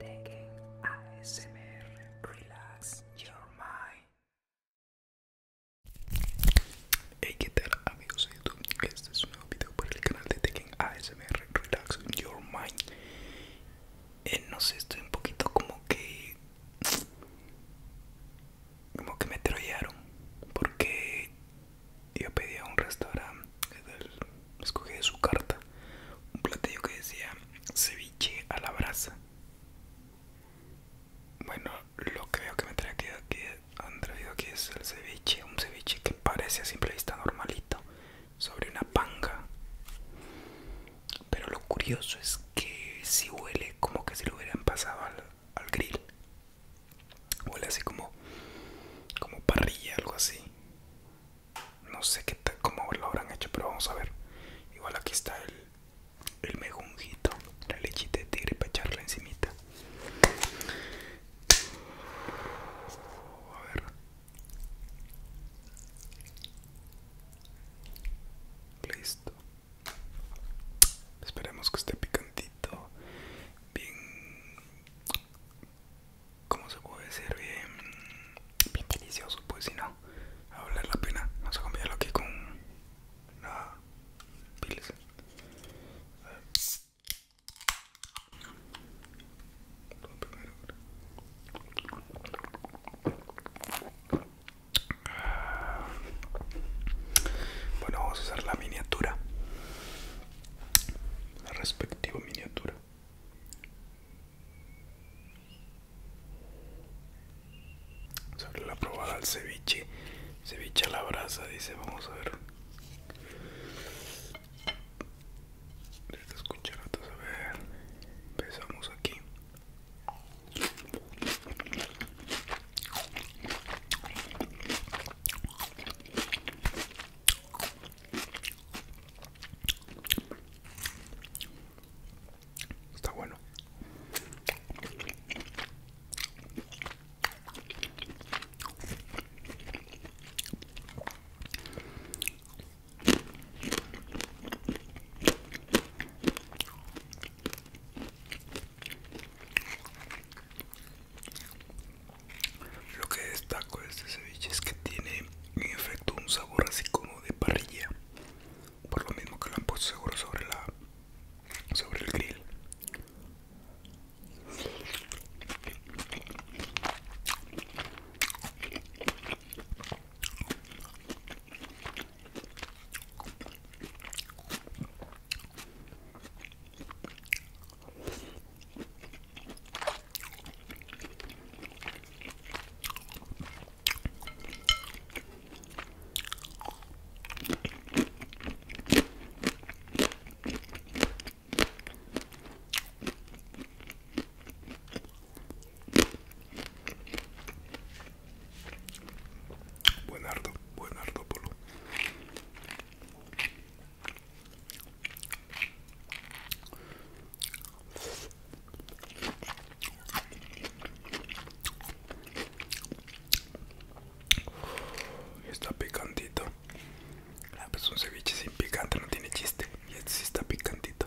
ASMR Relax Your Mind. Hey, ¿qué tal amigos de YouTube? Este es un nuevo video para el canal de Taking ASMR Relax Your Mind. Eh, no sé, estoy un poquito como que. Como que me trollaron. Porque yo pedí a un restaurante, escogí de su carta un platillo que decía ceviche a la brasa. Bueno, lo que veo que me trae aquí, han traído aquí es el ceviche, un ceviche que parece a simple vista normalito, sobre una panga. Pero lo curioso es que si huele como que si lo hubieran pasado al, al grill. Huele así como, como parrilla, algo así no sé qué tal, cómo lo habrán hecho pero vamos a ver igual aquí está el el la lechita de tigre para echarla encimita a ver listo esperemos que esté picantito bien ¿cómo se puede ser Bien, bien delicioso, pues si no, a valer la pena. Vamos a cambiarlo aquí con la piles. Bueno, vamos a hacer la miniatura, la respectiva miniatura. Sobre la probada al ceviche, ceviche a la brasa, dice, vamos a ver. Estas cucharatas, a ver, empezamos aquí. Está bueno. Lo que destaco de este ceviche es que tiene en efecto un sabor así como de parrilla, por lo mismo que lo han puesto seguro sobre la sobre el grill. Buen buenardo buen polo está picantito. Ah, es pues un ceviche sin picante no tiene chiste. Y este sí está picantito.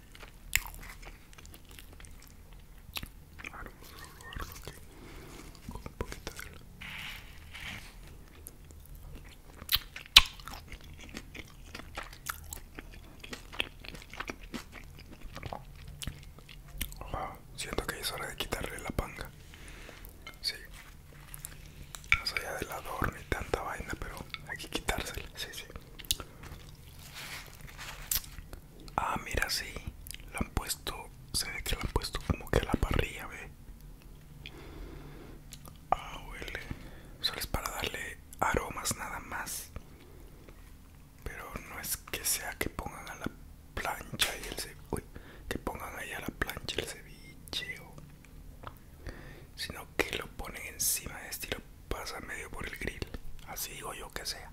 Ahora vamos a siento que es hora de quitarle la panga. Sí. Más allá la ni y tanta vaina, pero hay que quitársela. Sí, sí. Ah, mira, sí. la han puesto. Se ve que la han puesto como que a la parrilla, ve. Ah, huele. Solo es para darle aromas nada más. Pero no es que sea que pongan a la plancha y el ceviche. Que pongan ahí a la plancha el ceviche o sino que lo ponen encima de este y medio por el grill. Así digo yo que sea.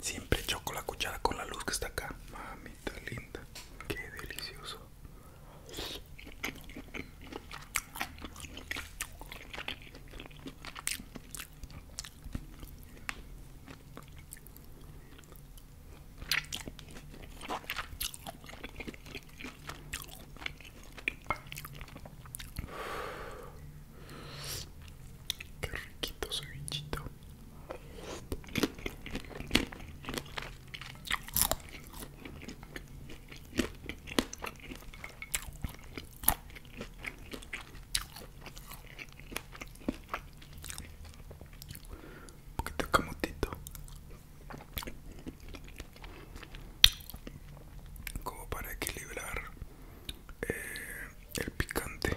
Siempre choco la cuchara con la luz que está acá. Mamita linda. Qué delicioso. Qué riquito bichito. Un poquito de camotito. Como para equilibrar eh, el picante.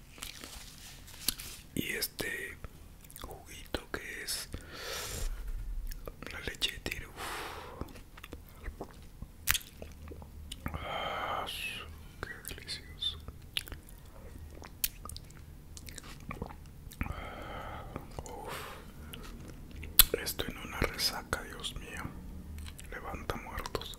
y este juguito que es la leche de tiro ah, delicioso ah, en una resaca dios mío levanta muertos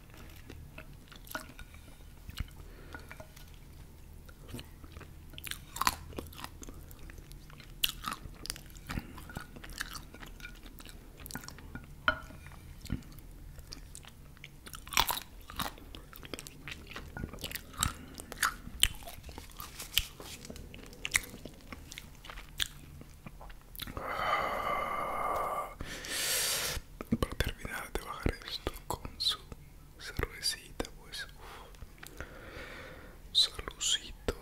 Para terminar de bajar esto con su cervecita, pues. Saludito.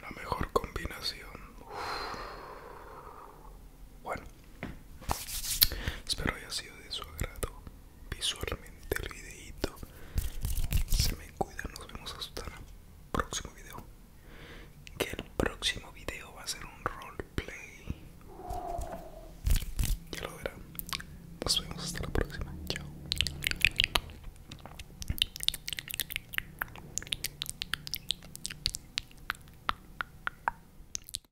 La mejor combinación. Bueno, Espero haya sido de su agrado visualmente el videito. Se me cuida, nos vemos hasta el próximo video. Que el próximo video va a ser un roleplay. Ya lo verán. Nos vemos hasta la próxima. Chao.